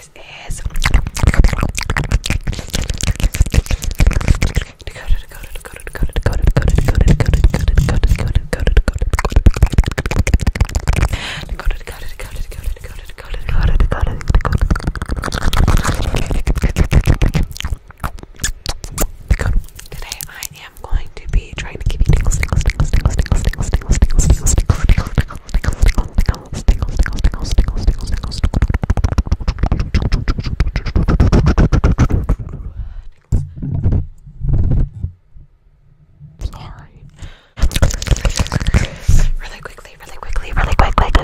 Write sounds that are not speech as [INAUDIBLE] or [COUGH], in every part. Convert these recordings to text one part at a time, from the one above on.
guys is Today I am going to be trying to give you tingles, tingles, tingles, tingles, tingles, tingles, tingles, tingles, tingles, Sorry. [LAUGHS] Really quickly, really quickly, really quickly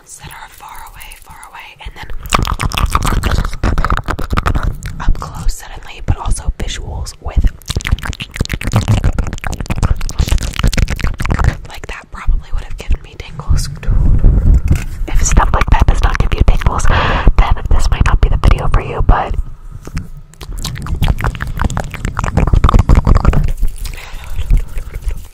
that are far away, far away, and then up close suddenly, but also visuals with like that probably would have given me tingles. If stuff like that does not give you tingles, then this might not be the video for you, but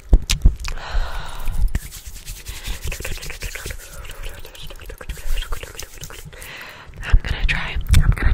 I'm gonna try. I'm gonna try. I'm gonna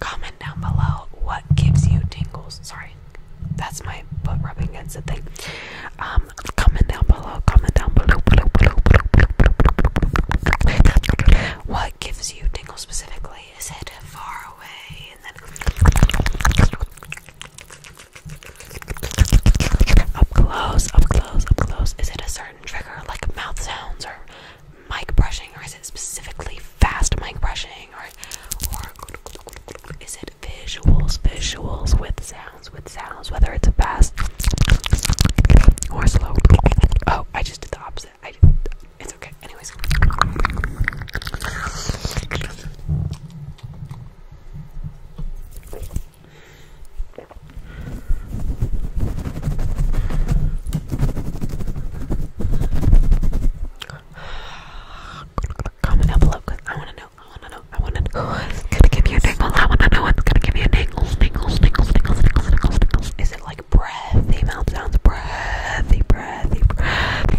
Comment down below what gives you tingles. Sorry, that's my butt rubbing against the thing. Um, comment down below. Comment down below. What gives you tingles specifically? Is it far away? up close, up close, up close. Is it a certain trigger like mouth sounds or mic brushing, or is it specifically fast mic brushing, or or is it visuals, visuals with sounds, with sounds, whether it's fast or slow? Oh, I just did the opposite. it's okay. Anyways. Comment down below because I want to know. I want to know. I want to know who's gonna give you a tingle. I want to know what's gonna give you a tingle. Tingles, tingles, tingles, tingles, tingles, tingles. Is it like breathy mouth sounds? Breathy, breathy, breathy.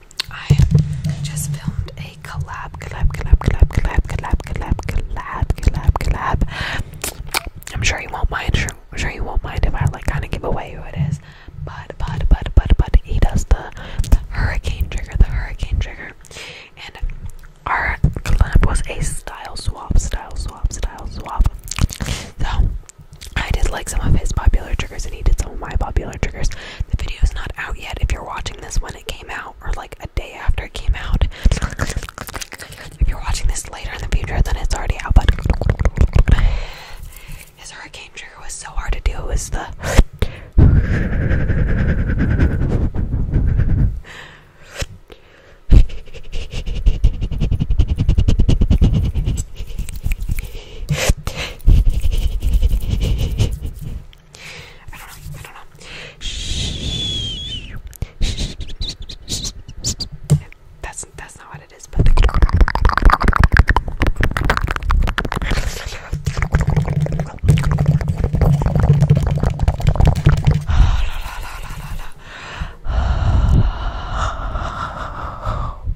I just filmed a collab, collab, collab, collab, collab, collab, collab, collab, collab, collab. I'm sure you won't mind. Sure, you won't mind if I like kind of give away who it is. But, but, but, but, but he does the, the hurricane trigger, the hurricane trigger, and our collab was a style swap, style swap, style swap. So I did like some of his popular triggers and he did some of my popular triggers. The video is not out yet if you're watching this when it came out or like a day after it came out. if you're watching this later in the future then it's already out but his hurricane trigger was so hard to deal with. the I don't know. I don't know. That's that's not what it is, but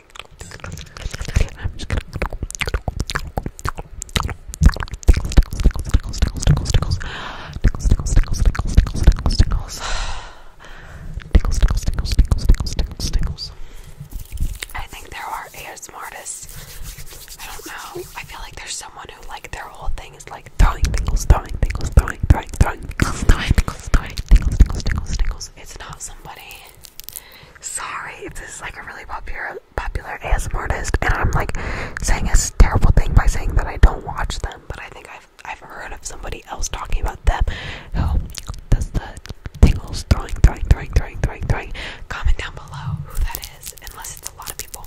I'm just gonna tickles, tickles, tickles, tickles, tickles, tickles, tickles, tickles, tickles, tickles, tickles, tickles, tickles, tickles, tickles, tickles, tickles, tickles. I think there are ASMR artists. I don't know. I feel like there's someone who like their whole thing is like throwing tingles, throwing tingles, throwing, throwing, throwing, tingles, throwing, tingles, throwing, tingles, tingles, tingles, tingles. It's not somebody Sorry if this is like a really popular popular ASMR artist and I'm like saying a terrible thing by saying that I don't watch them, but I think I've I've heard of somebody else talking about them. Who oh, does the tingles throwing, throwing, throwing, throwing, throwing, throwing? Comment down below who that is, unless it's a lot of people.